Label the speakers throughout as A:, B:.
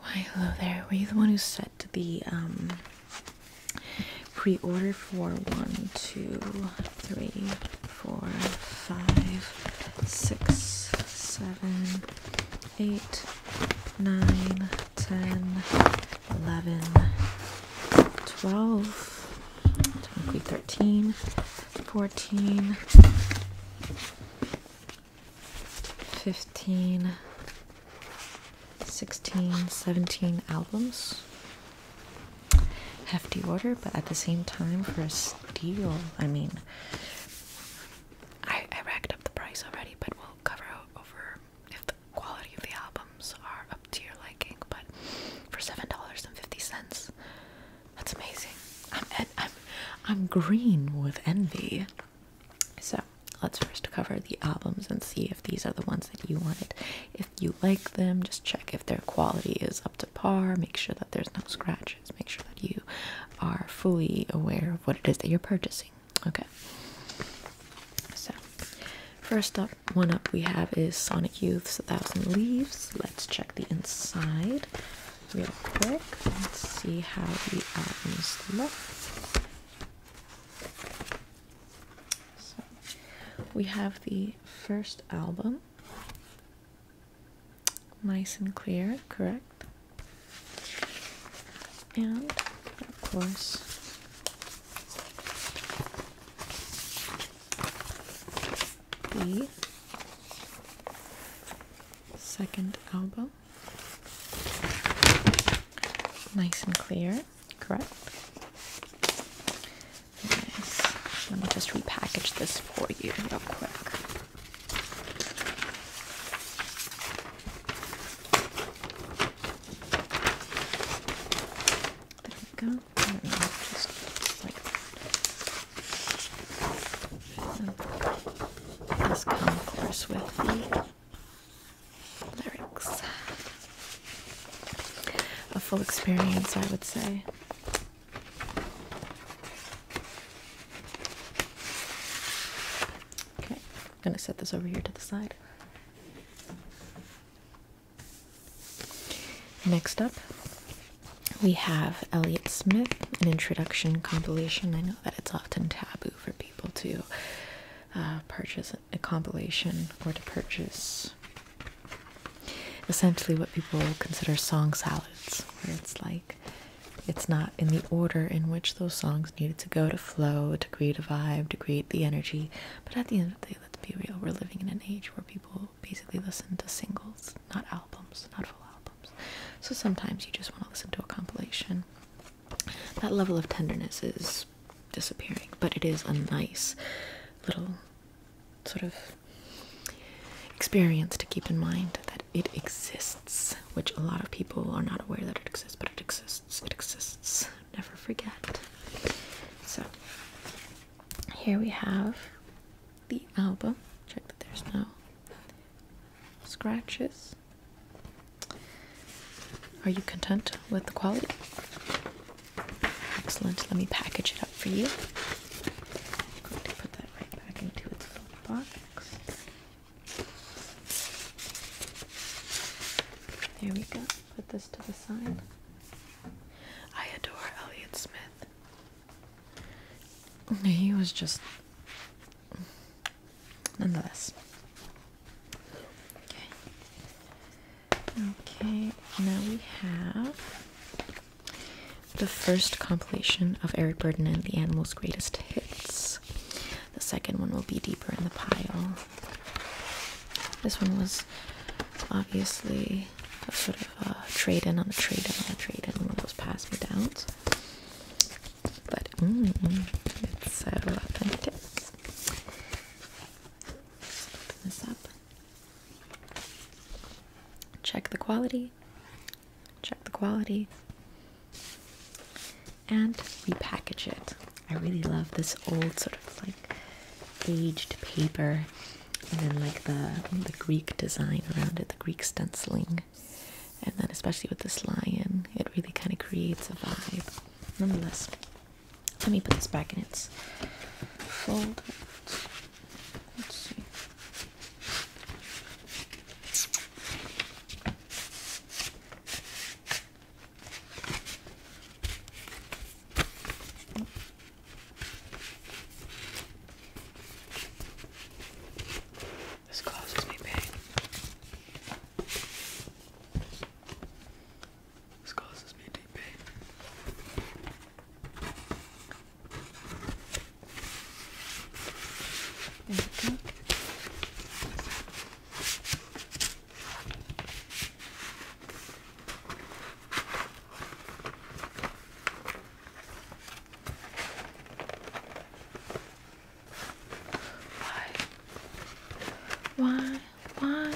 A: Why, hello there. Were you the one who set the um, pre-order for one, two, three, four, five, six, seven, eight, nine, ten, eleven, twelve, thirteen, fourteen? 15, 16, 17 albums. Hefty order, but at the same time, for a steal, I mean, I, I racked up the price already, but we'll cover over if the quality of the albums are up to your liking. But for seven dollars and fifty cents, that's amazing. I'm green with envy. So let's first cover the albums and see if these are the ones that you wanted. If you like them, just check if their quality is up to par, make sure that there's no scratches, make sure that you are fully aware of what it is that you're purchasing. Okay. So first up one up we have is Sonic Youth's A Thousand Leaves. Let's check the inside real quick. Let's see how the albums look we have the first album, nice and clear, correct? And of course. The second album Nice and clear, correct? Let me just repackage this for you real quick. There we go. just like that. this comes, with lyrics. A full experience, I would say. Okay, I'm gonna set this over here to the side. Next up, we have Elliott Smith, an introduction compilation. I know that it's often taboo for people to uh, purchase a compilation or to purchase essentially what people consider song salads, where it's like it's not in the order in which those songs needed to go to flow, to create a vibe, to create the energy. But at the end of the day, let's be real, we're living in an age where people basically listen to singles, not albums, not full albums. So sometimes you just want to listen to a compilation that level of tenderness is disappearing, but it is a nice little sort of experience to keep in mind that it exists, which a lot of people are not aware that it exists, but it exists, it exists. Never forget. So here we have the album. Check that there's no scratches. Are you content with the quality? Excellent. Let me package it up for you. put that right back into its little box. There we go. Put this to the side. I adore Elliot Smith. He was just nonetheless. Okay. Okay, now we have the first compilation of Eric Burdon and the Animal's Greatest Hits. The second one will be deeper in the pile. This one was obviously a sort of a uh, trade in on a trade in on a trade in, one of those pass me downs but mm, mm, it's so uh, authentic. Open this up. Check the quality. Check the quality. And repackage it. I really love this old sort of like aged paper and then like the the Greek design around it, the Greek stenciling and then especially with this lion, it really kind of creates a vibe. Nonetheless, let me put this back in its fold. Let's see. This causes me pain. This causes me deep pain. There why? Why? Why?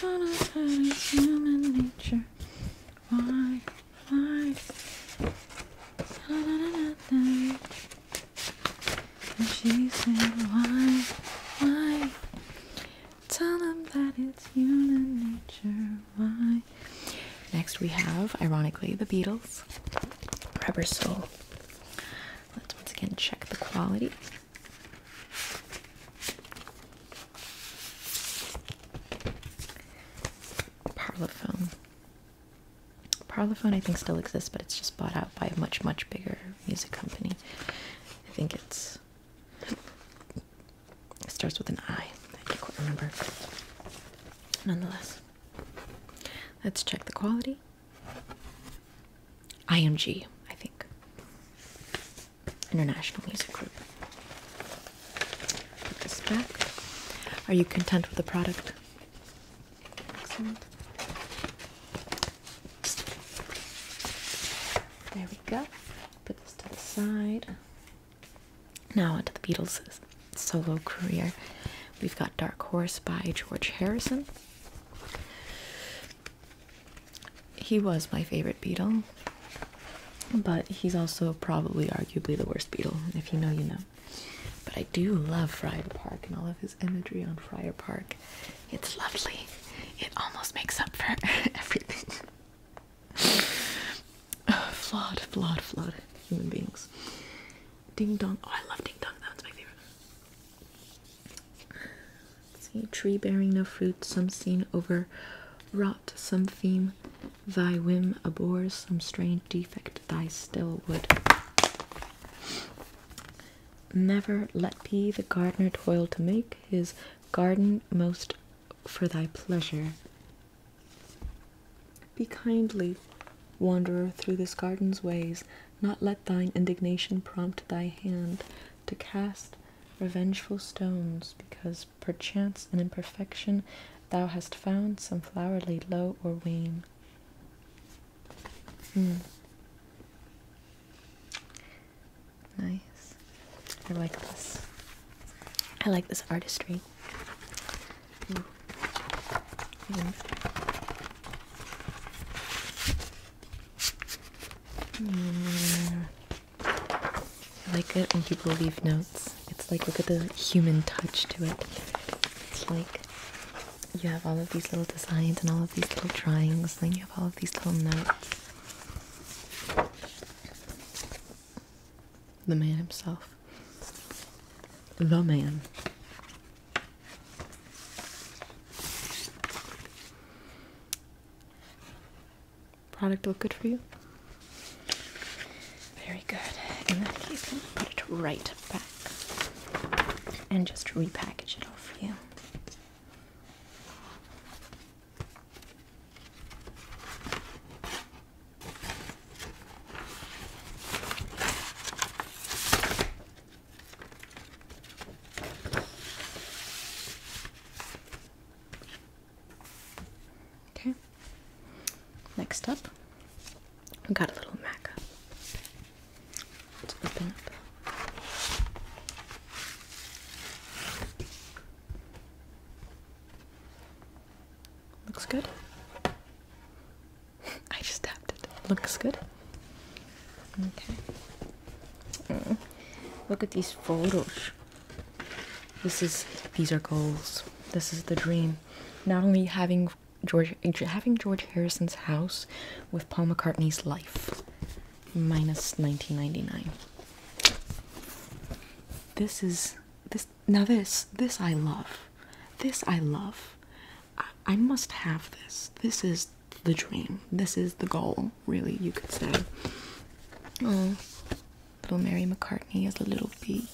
A: What is human nature? Why? Why? Da, da, da, and she said, Why? Why? Tell them that it's human nature. Why? Next, we have, ironically, the Beatles. Rubber Soul. Let's once again check the quality. Parlophone. Parlophone, I think, still exists, but it's just bought out by a much, much bigger music company. I think it's. It starts with an I. I can't quite remember. Nonetheless, let's check the quality. IMG, I think. International Music Group. Put this back. Are you content with the product? Excellent. There we go. Put this to the side. Now onto the Beatles solo career. We've got Dark Horse by George Harrison. He was my favorite Beatle, but he's also probably arguably the worst Beatle. If you know, you know. But I do love Friar Park and all of his imagery on Friar Park. It's lovely. It almost makes up for everything. oh, flawed, flawed, flawed human beings. Ding dong. Oh, I love ding dong. That's my favorite. see, tree bearing no fruit, some scene over wrought, some theme thy whim abhors, some strange defect thy still would. Never let be the gardener toil to make his garden most for thy pleasure. Be kindly, wanderer through this garden's ways, not let thine indignation prompt thy hand to cast revengeful stones, because perchance in imperfection thou hast found some flower laid low or wane. Hmm. Nice. I like this. I like this artistry. I like it when people leave notes. It's like, look at the human touch to it. It's like you have all of these little designs and all of these little drawings, and then you have all of these little notes. The man himself. The man. Product look good for you? Very good. And then you can put it right back and just repackage it all for you. Okay. Next up, we got a little mac. Let's open up. Looks good. I just tapped it. Looks good. Okay. Mm. Look at these photos. This is these are goals. This is the dream. Not only having George having George Harrison's house with Paul McCartney's life. Minus 1999. This is this now this this I love. This I love. I, must have this. This is the dream. This is the goal, really, you could say. Oh, little Mary McCartney is a little baby.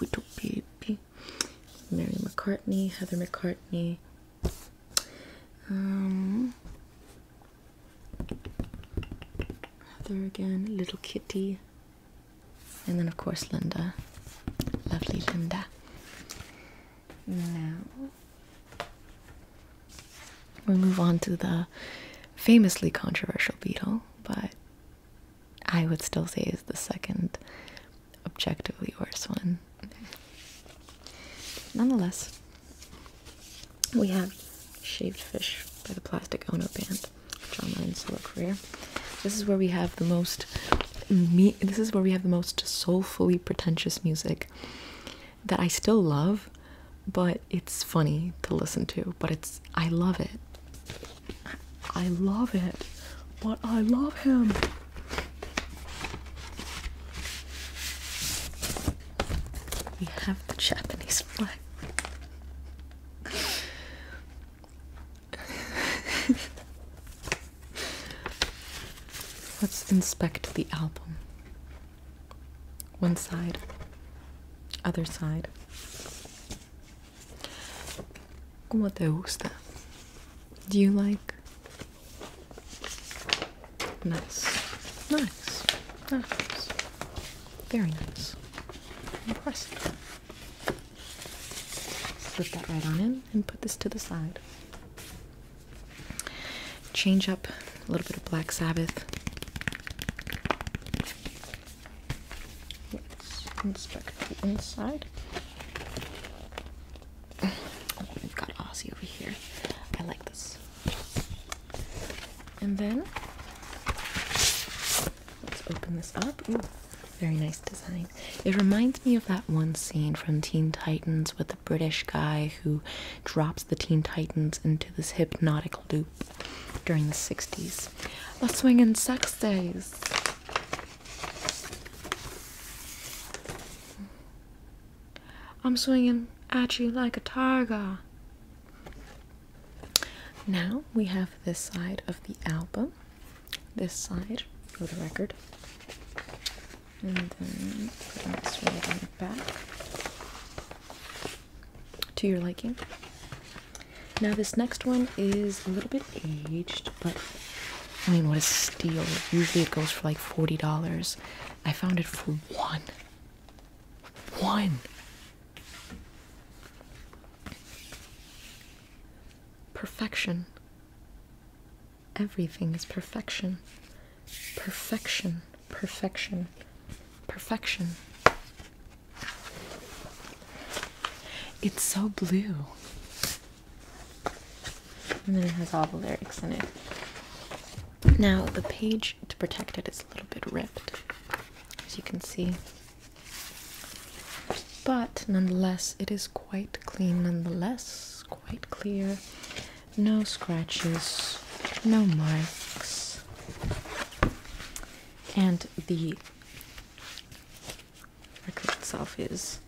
A: little baby. Mary McCartney, Heather McCartney. Um, Heather again, little kitty. And then, of course, Linda. Lovely Linda. Now we move on to the famously controversial Beatle, but I would still say is the second objectively worst one. Nonetheless, we have Shaved Fish by the Plastic Ono Band, John Lennon's solo career. This is where we have the most this is where we have the most soulfully pretentious music that I still love, but it's funny to listen to, but it's I love it. I love it. But I love him. We have the Japanese flag. Let's inspect the album. One side, other side. Como te gusta? Do you like? Nice, nice, nice, very nice, impressive. Slip that right on in and put this to the side. Change up a little bit of Black Sabbath. inspect the inside. Oh, we've got Aussie over here. I like this. And then let's open this up. very nice design. It reminds me of that one scene from Teen Titans with the British guy who drops the Teen Titans into this hypnotic loop during the 60s. the swingin' sex days. I'm swinging at you like a tiger. Now we have this side of the album this side for the record. And then put this right on the back to your liking. Now this next one is a little bit aged, but I mean what a steal. Usually it goes for like forty dollars. I found it for one. One perfection. Everything is perfection. Perfection. Perfection. Perfection. It's so blue. And then it has all the lyrics in it. Now, the page to protect it is a little bit ripped, as you can see. But nonetheless, it is quite clean, nonetheless quite clear. No scratches, no marks. And the record itself is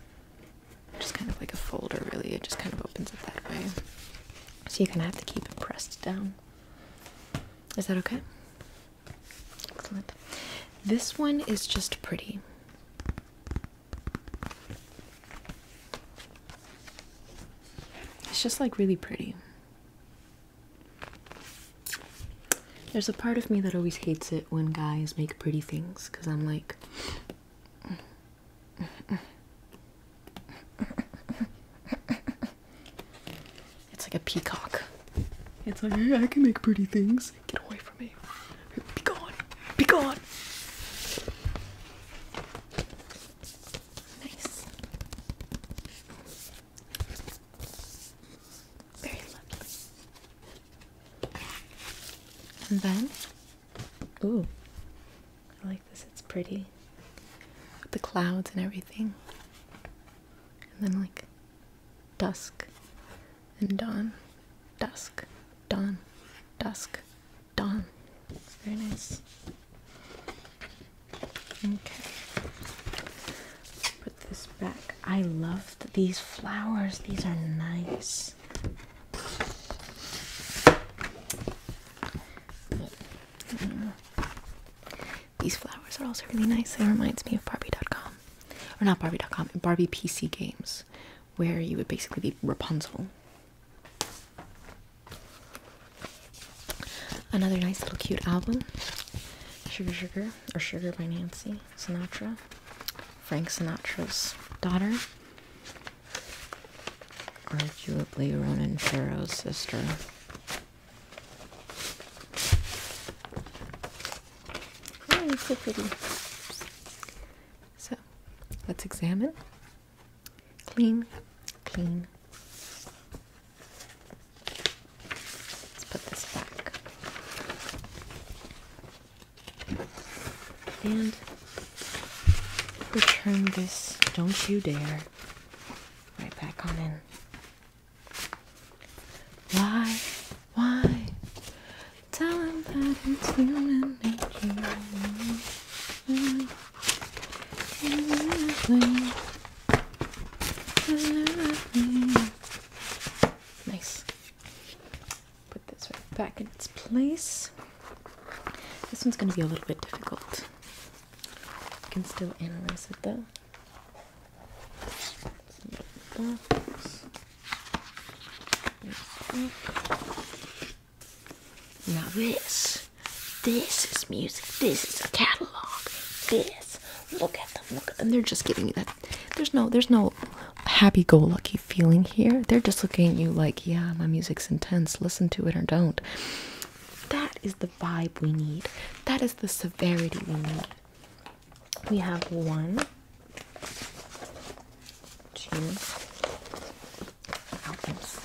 A: just kind of like a folder, really. It just kind of opens up that way. So you're gonna have to keep it pressed down. Is that okay? Excellent. This one is just pretty. It's just like really pretty. There's a part of me that always hates it when guys make pretty things because I'm like, it's like a peacock. It's like, I can make pretty things. Get away from me. Be gone. Be gone. Nice. Very lovely. And then, ooh, I like this. It's pretty. With the clouds and everything. And then, like, dusk and dawn, dusk, dawn, dusk, dawn. It's very nice. Okay. Put this back. I love these flowers. These are nice. These flowers are also really nice. They reminds me of Barbie.com. Or not Barbie.com, Barbie PC Games where you would basically be Rapunzel. Another nice little cute album, Sugar Sugar or Sugar by Nancy Sinatra, Frank Sinatra's daughter, arguably Ronan Farrow's sister. so pretty. So let's examine. Clean, clean. Let's put this back. And return this, don't you dare, right back on in. Why? Why? time that it's human nature. Nice. Put this back in its place. This one's going to be a little bit difficult. You can still analyze it though. Now this, this is music. This is a catalog. This, look at them. Look, and they're just giving you that. There's no, there's no happy-go-lucky feeling here. They're just looking at you like, yeah, my music's intense. Listen to it or don't. That is the vibe we need. That is the severity we need. We have one, two albums.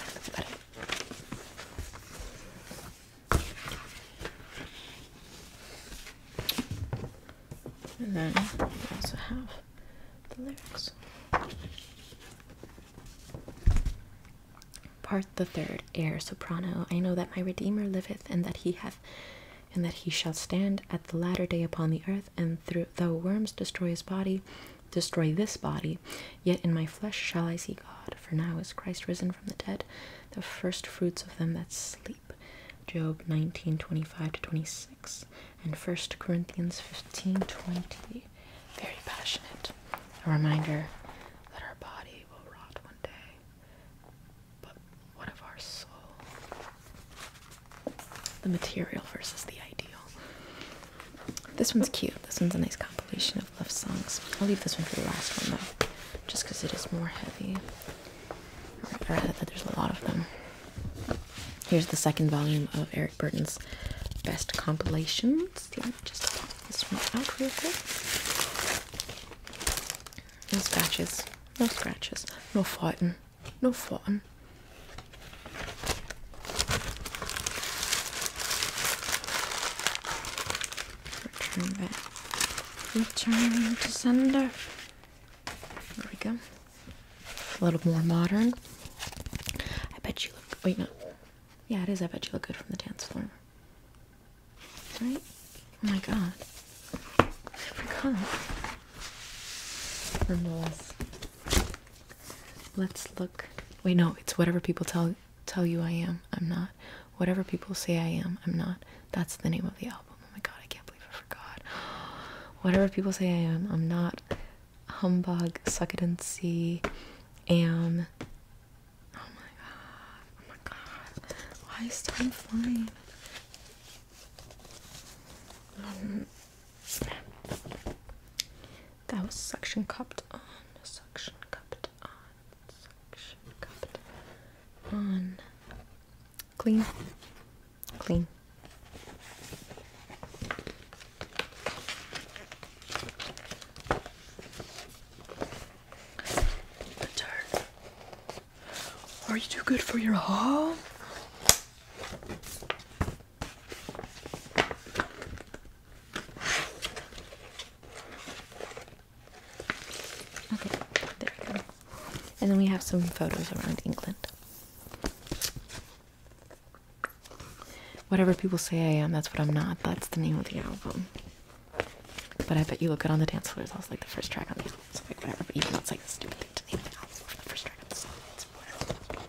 A: And then we also have the lyrics. Part the third, air soprano. I know that my Redeemer liveth, and that he hath, and that he shall stand at the latter day upon the earth, and though worms destroy his body, destroy this body, yet in my flesh shall I see God. For now is Christ risen from the dead, the first fruits of them that sleep. Job nineteen twenty-five to 26, and First Corinthians fifteen twenty. Very passionate. A reminder that our body will rot one day, but what of our soul? the material versus the ideal. This one's cute. This one's a nice compilation of love songs. I'll leave this one for the last one though, just because it is more heavy. I read that there's a lot of them. Here's the second volume of Eric Burton's best compilations. just pop this one out real quick. No scratches, no scratches, no fighting no fun. Return back. Return to sender. There we go. A little more modern. I bet you look. Wait, no. Yeah, it is. I bet you look good from the dance floor. Right? Oh my god. I forgot. Nonetheless. Let's look. Wait, no, it's whatever people tell tell you I am. I'm not. Whatever people say I am, I'm not. That's the name of the album. Oh my god, I can't believe I forgot. whatever people say I am, I'm not. Humbug, succulency, am. Oh my god. Oh my god. Why is time flying? Um, that was suction cupped on, suction cupped on, suction cupped on. Clean, clean. turn. Are you too good for your home? Okay, there we go. And then we have some photos around England. Whatever people say I am, that's what I'm not. That's the name of the album. But I bet you look good on the dance floors. That like the first track on the album. So like whatever. But even though it's like stupid thing to name the album the first track of the song. It's whatever.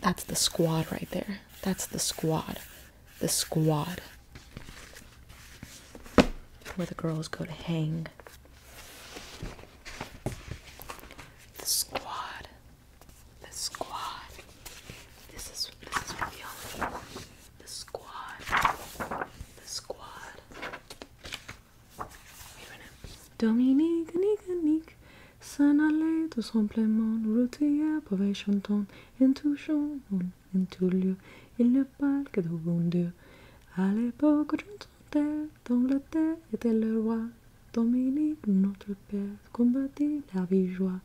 A: that's the squad right there. That's the squad. The squad. Where the girls go to hang. The squad. The squad. This is this is what The squad. The squad. Wait a minute. Dominique, Nick, Nick. s'en de tout simplement, routier, pour chantant, en touchant, en tout lieu, il ne parle que de bon Dieu. À l'époque, j'entendais, d'Angleterre était le roi, Dominique, notre père, combattit la vie joie.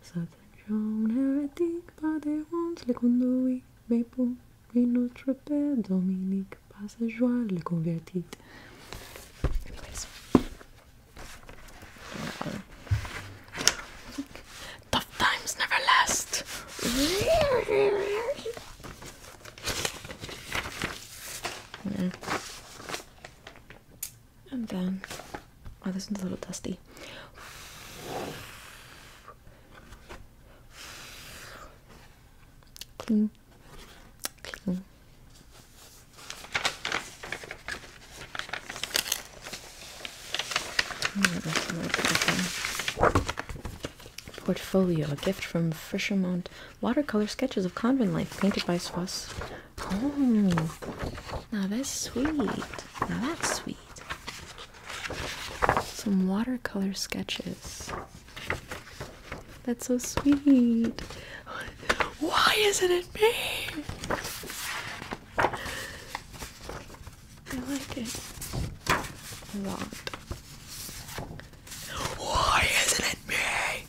A: Certaines gens hérétiques, par des hontes, les conduit, mais pour mais notre père Dominique Passageois, convertit. Anyways. Tough times never last. And then, oh, this one's a little dusty. Portfolio, a gift from Frischemont. Watercolor sketches of convent life painted by Swass. Oh, now that's sweet. Now that's sweet. Some watercolor sketches. That's so sweet. Why isn't it me? I like it a lot. Why isn't it me?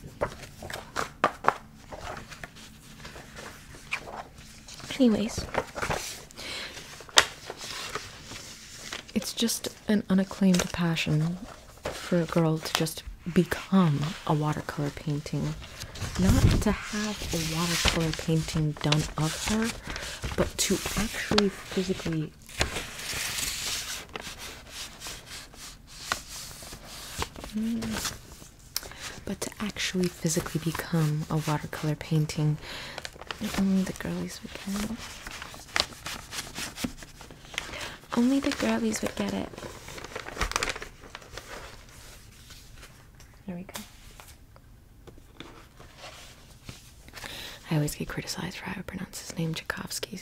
A: Anyways, it's just an unacclaimed passion for a girl to just become a watercolor painting. Not to have a watercolor painting done of her, but to actually physically but to actually physically become a watercolor painting. Only the girlies we can only the girlies would get it. There we go. I always get criticized for how I pronounce his name, Tchaikovsky.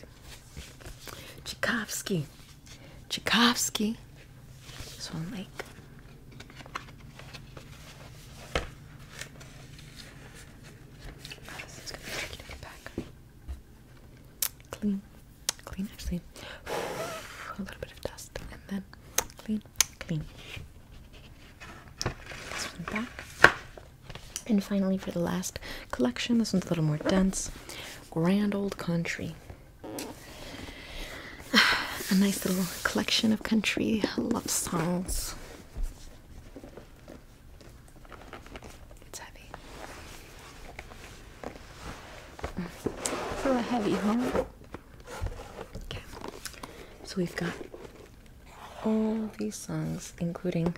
A: Tchaikovsky. Tchaikovsky. This one, like. Oh, clean, clean, actually, a little bit of dust, and then clean, clean. This one back. And finally, for the last collection, this one's a little more dense. Grand Old Country. A nice little collection of country love songs. It's heavy. It's a heavy, huh? Okay. So we've got all these songs, including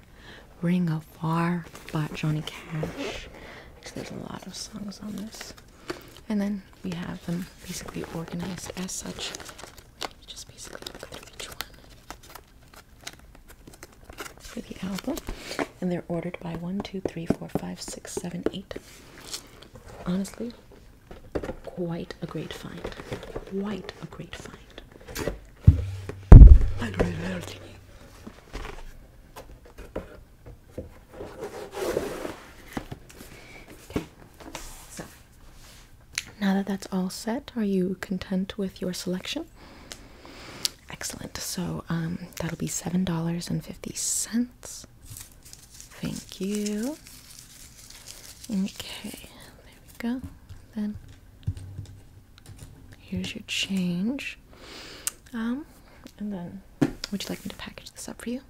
A: Ring of Fire by Johnny Cash. Actually, there's a lot of songs on this. And then we have them basically organized as such. just basically look through each one for the album, and they're ordered by one, two, three, four, five, six, seven, eight. Honestly, quite a great find. Quite a great find. Okay, so now that that's all set, are you content with your selection? Excellent. So um, that'll be seven dollars and fifty cents. Thank you. Okay, there we go. Then here's your change. Um, and then would you like me to package this up for you?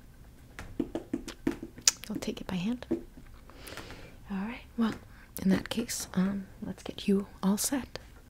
A: I'll take it by hand. All right. Well, in that case, um, let's get you all set.